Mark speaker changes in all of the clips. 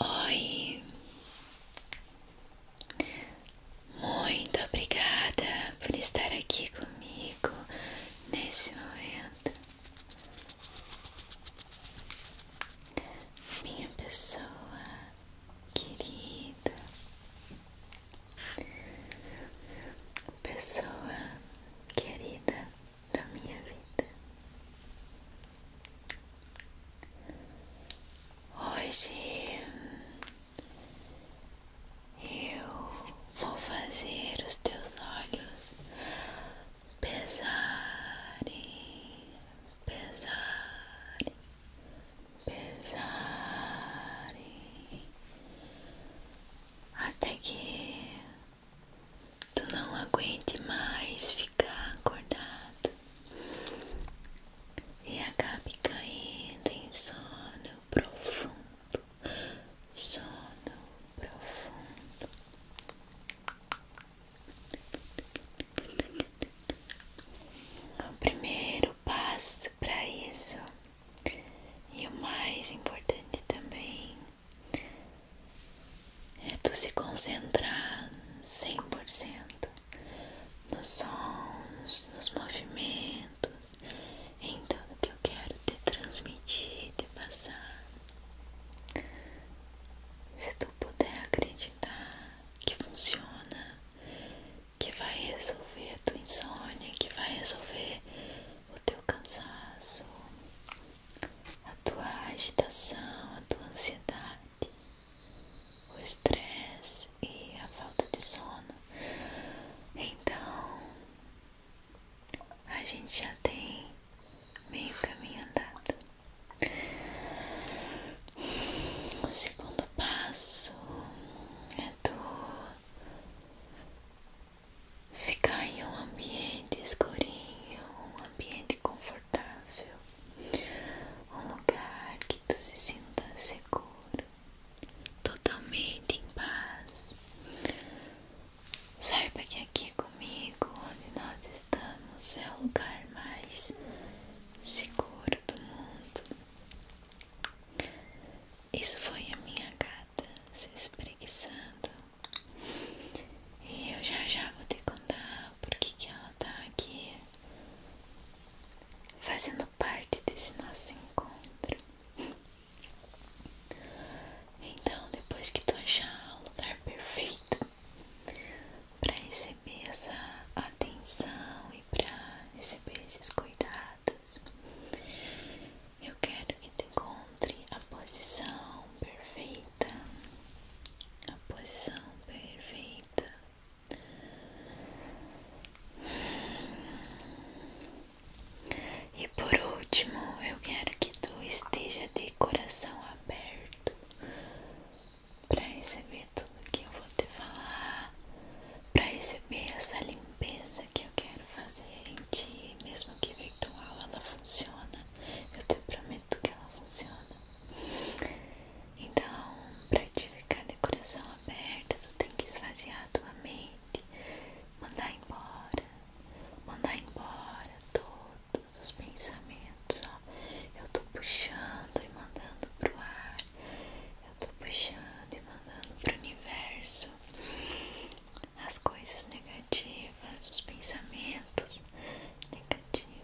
Speaker 1: Oi, muito obrigada por estar aqui comigo nesse momento, minha pessoa querida, pessoa querida da minha vida. Hoje eu vou fazer os teus olhos pesarem, pesarem, pesarem até que tu não aguente mais ficar acordado e acabe caindo em sono profundo, sono profundo. O primeiro passo para isso e o mais importante também é tu se concentrar 100% nos sons, nos movimentos, em tudo que eu quero te transmitir, te passar. Se tu puder acreditar que funciona, que vai resolver a tua insônia, que vai resolver o teu cansaço, a tua agitação, a tua ansiedade, o estresse e a falta de sono. Então, a gente já tem meio caminho andado. O segundo passo é tu ficar em um ambiente escurinho, um ambiente confortável, um lugar que tu se sinta seguro, totalmente em paz. Saiba que aqui comigo, onde nós estamos, é o lugar mais seguro do mundo. Isso foi a minha gata se espreguiçando e eu já já vou te contar por que ela tá aqui fazendo parte desse nosso encontro. Então, depois que tu achar o lugar perfeito para receber essa atenção e para receber esses cuidados, eu quero que tu encontre a posição perfeita a posição perfeita. E por último, eu quero que tu esteja de coração aberto para receber tudo que eu vou te falar, para receber essa limpeza que eu quero fazer em ti, mesmo que virtual ela funciona. Eu te prometo que ela funciona. Então, para te ficar de coração aberto, tu tem que esvaziar a tua mente, mandar embora, mandar embora todos os pensamentos. Ó. Eu tô puxando e mandando pro ar, eu tô puxando e mandando pro universo as coisas negativas, os pensamentos negativos.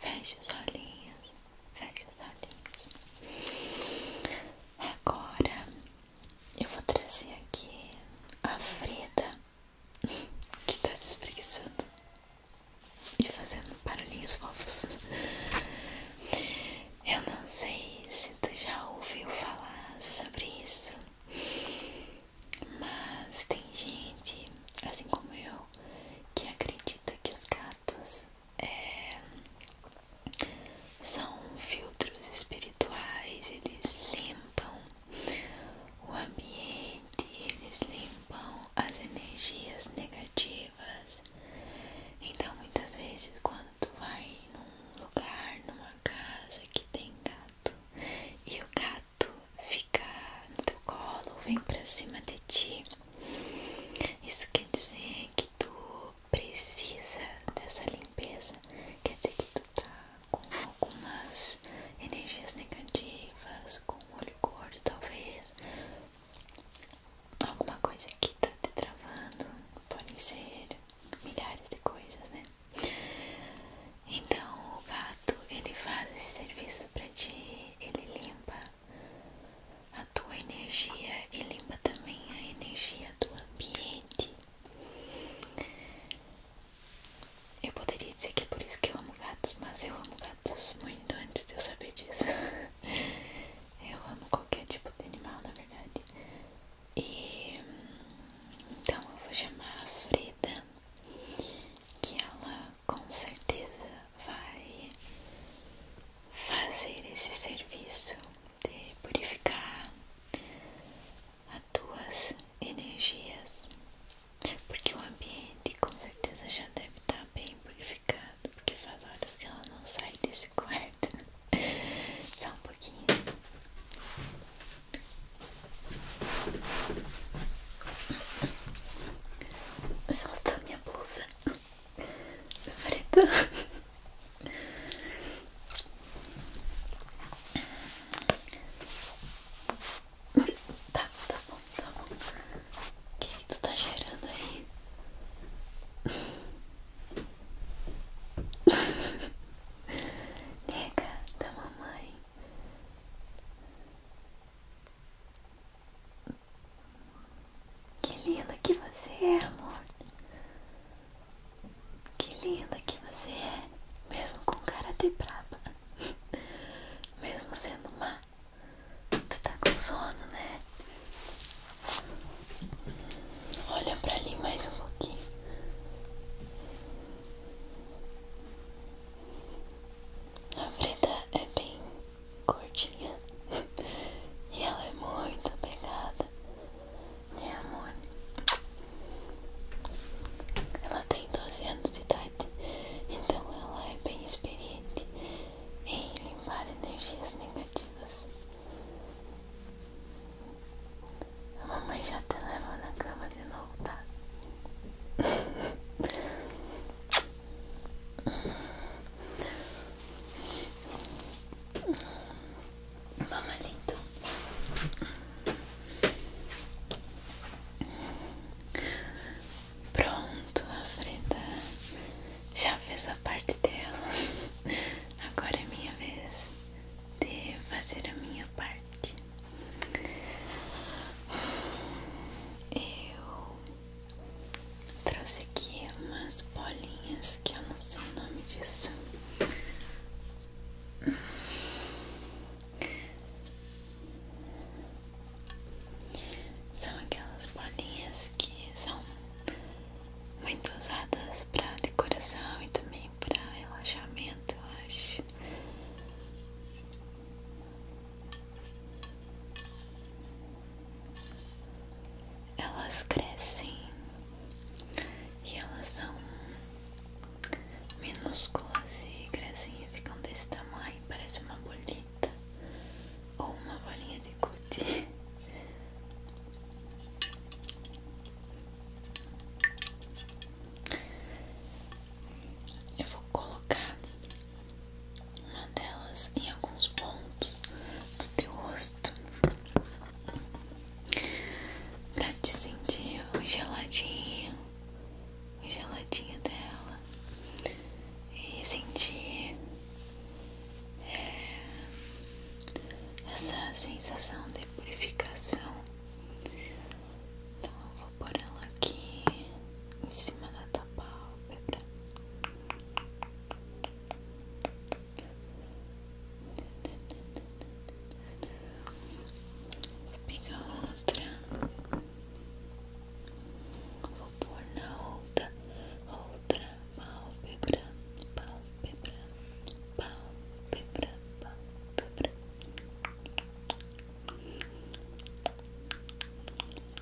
Speaker 1: Feche os olhinhos, feche os olhinhos. Agora eu vou trazer aqui a Freda que tá se espreguiçando e fazendo barulhinhos fofos. Eu não sei se tu já ouviu falar sobre isso, mas tem gente, assim como eu, que acredita que os gatos é, são filtros espirituais, eles limpam o ambiente, eles limpam as energias negativas. Então, muitas vezes, quando tu vai num lugar, numa casa que tem gato, e o gato fica no teu colo, vem pra cima de ti. Isso quer dizer que tu precisa dessa limpeza, quer dizer que tu tá com algumas energias negativas, com olho gordo talvez, alguma coisa que tá te travando, podem ser milhares de coisas, né? Então o gato ele faz esse serviço pra ti, ele limpa a tua energia e limpa também a energia do ambiente. Eu poderia dizer que é por isso que eu amo gatos, mas eu amo gatos muito antes de eu saber disso. Eu amo qualquer tipo de animal, na verdade. E então eu vou chamar a Freda, que ela com certeza vai fazer esse serviço de purificar as tuas energias, porque o ambiente com certeza já deve estar bem purificado, porque faz horas que ela não sai desse quarto. Só um pouquinho. Solta minha blusa preta. Tá, tá bom, tá bom. O que, que tu tá cheirando aí? Nega da mamãe. Que linda que você é, amor. Que linda que você é, mesmo com cara de braba. Mesmo sendo má. Tu tá com sono, né? Olha pra ali mais um pouquinho. A Frida é bem Cortinha, e ela é muito apegada, né, amor? Ela tem 12 anos de idade, então ela é bem experiente em limpar energias negativas. A mamãe já te leva na cama de novo, tá? Mama lindo. Pronto, a Frida já fez a parte dela. Agora é minha vez de fazer a minha parte. Eu Trouxe aqui umas bolinhas que eu não sei o nome disso. São aquelas bolinhas que são muito usadas para decoração e também para relaxamento, eu acho. Elas crescem e elas são minúsculas e crescem ficam desse tamanho, parece uma bolita ou uma bolinha de cuti. Eu vou colocar uma delas em alguns pontos do teu rosto pra te sentir o geladinho, o geladinho dela e sentir é, essa sensação de purificação. Então eu vou por ela aqui em cima da tua palma. Vou pegar outra. Vou pôr na outra, outra pálpebra, pálpebra, pálpebra, pálpebra.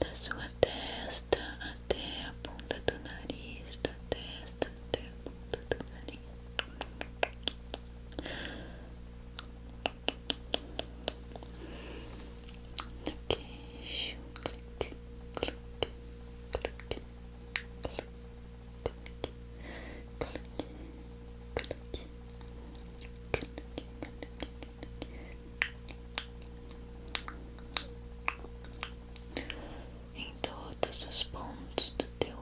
Speaker 1: da sua testa até a ponta do nariz, da testa até a ponta do nariz. Do queixo, clic, clic, clic, clic, clic, click, click, todos os pontos do teu olho.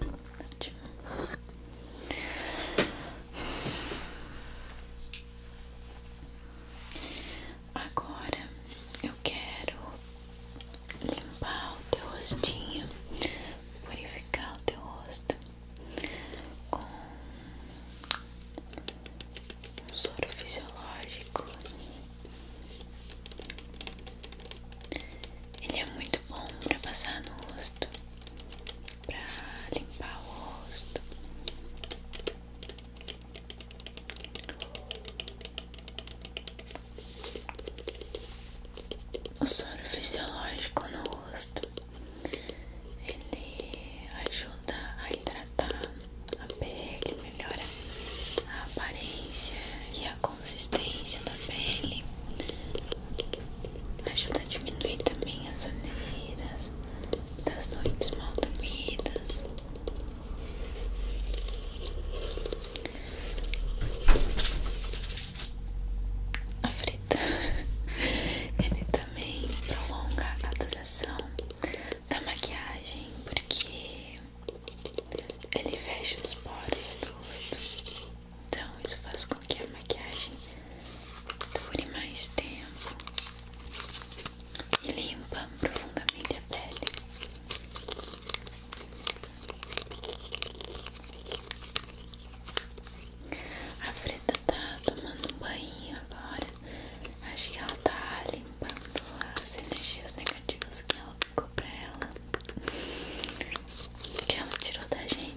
Speaker 1: Ótimo. Agora eu quero limpar o teu rostinho, purificar o teu rosto com um soro fisiológico. Ele é muito bom para passar no rosto, para limpar o rosto. O sono fisiológico no rosto ele ajuda a hidratar a pele, melhora a aparência e a consistência da pele, ajuda a diminuir também as olheiras das noites mal dormidas a frita. Ele também prolonga a duração da maquiagem porque ele fecha os poros do rosto. Então isso faz com que a maquiagem dure mais tempo e limpa profundamente a pele. A Freda tá tomando um banho agora. Acho que ela tá limpando as energias negativas que ela ficou pra ela. Que ela tirou da gente.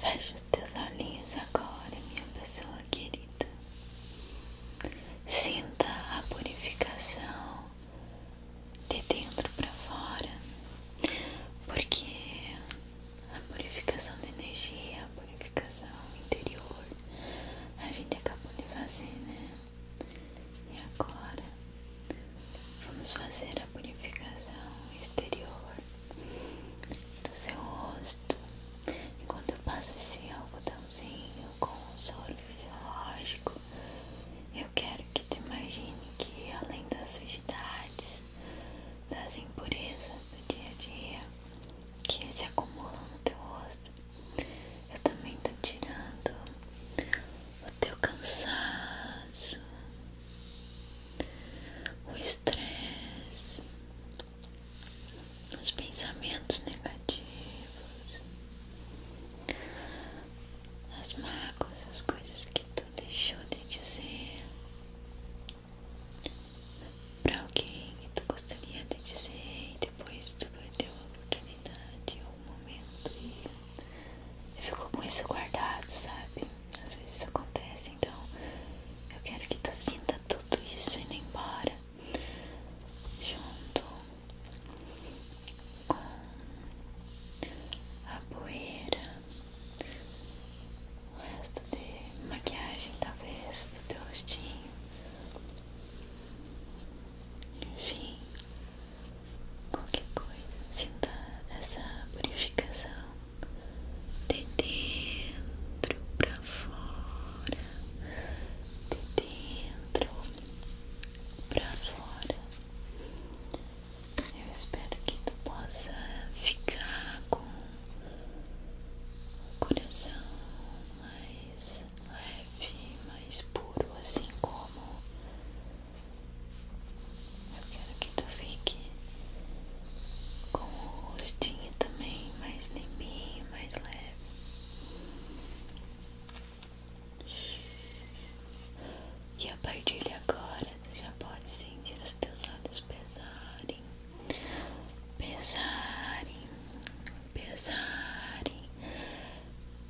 Speaker 1: feche os teus olhinhos agora, minha pessoa querida. Sinta a purificação de dentro para fora, porque a purificação da energia, a purificação interior. A gente acabou de fazer, né? E agora vamos fazer a purificação exterior do seu rosto. Enquanto eu passo esse algodãozinho com o soro fisiológico, eu quero que tu imagine que além das sujidades, das impurezas do dia a dia que se acumulam no teu rosto. Eu também tô tirando o teu cansaço, o estresse, os pensamentos negativos, as mágoas, as coisas que tu deixou de dizer, para alguém que tu gostaria de dizer e depois tu perdeu a oportunidade ou um momento e ficou com isso guardado, sabe? Às vezes isso acontece, então eu quero que tu sinta tudo isso indo embora junto com a poeira o resto de maquiagem, talvez, do teu rostinho. Enfim, qualquer coisa. Sinta essa purificação de dentro pra fora. De dentro pra fora. Eu espero que tu possa ficar com o coração mais leve, mais puro, assim como eu quero que tu fique com o rostinho também mais limpinho, mais leve. E a partir de agora já pode sentir os teus olhos pesarem, pesarem, pesarem,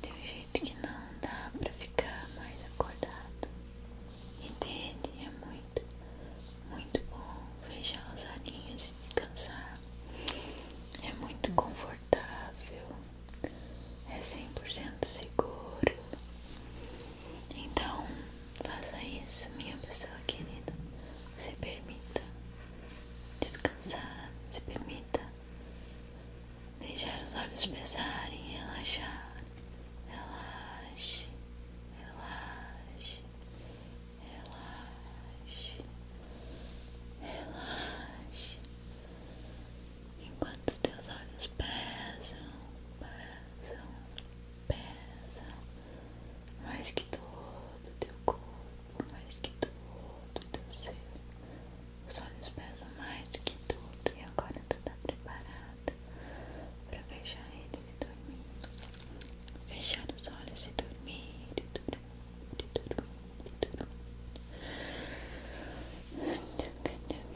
Speaker 1: de um jeito que não dá pra ficar mais acordado. E dele é muito, muito bom fechar as olhinhos e descansar. É muito confortável, é 100% seguro. Então, faça isso, minha pessoa querida. Se permita descansar, se permita deixar os olhos pesarem, relaxar. Relaxe, relaxe, relaxe, relaxe. Enquanto teus olhos pesam, pesam, pesa mais que tudo teu corpo, mais que tudo teu ser. Os olhos pesam mais que tudo e agora tu tá preparada para fechar eles e dormir. Fechar os olhos e dormir, e dormir, e dormir, e dormir.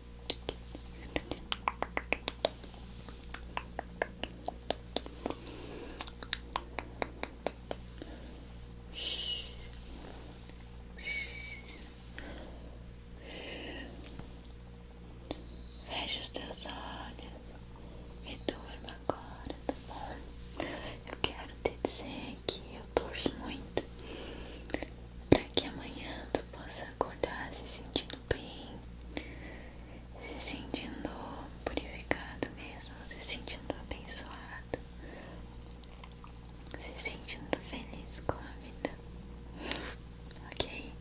Speaker 1: Feche os teus olhos e dorme agora, tá bom? Eu quero te dizer que eu torço muito para que amanhã você possa acordar se sentindo bem, se sentindo purificado mesmo, se sentindo abençoado, se sentindo feliz com a vida, ok?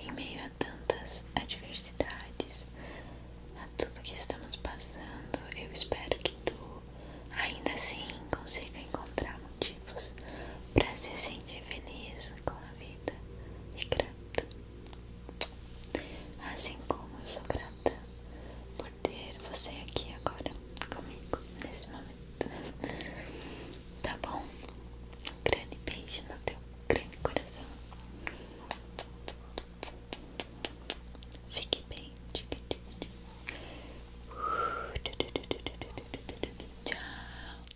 Speaker 1: Em meio a tantas adversidades, a tudo que estamos passando, eu espero que tu ainda assim consiga encontrar motivos para se sentir feliz com a vida e grata. Assim como eu sou grata por ter você aqui agora comigo nesse momento. Tá bom? Um grande beijo no teu grande coração. Fique bem. Tchau.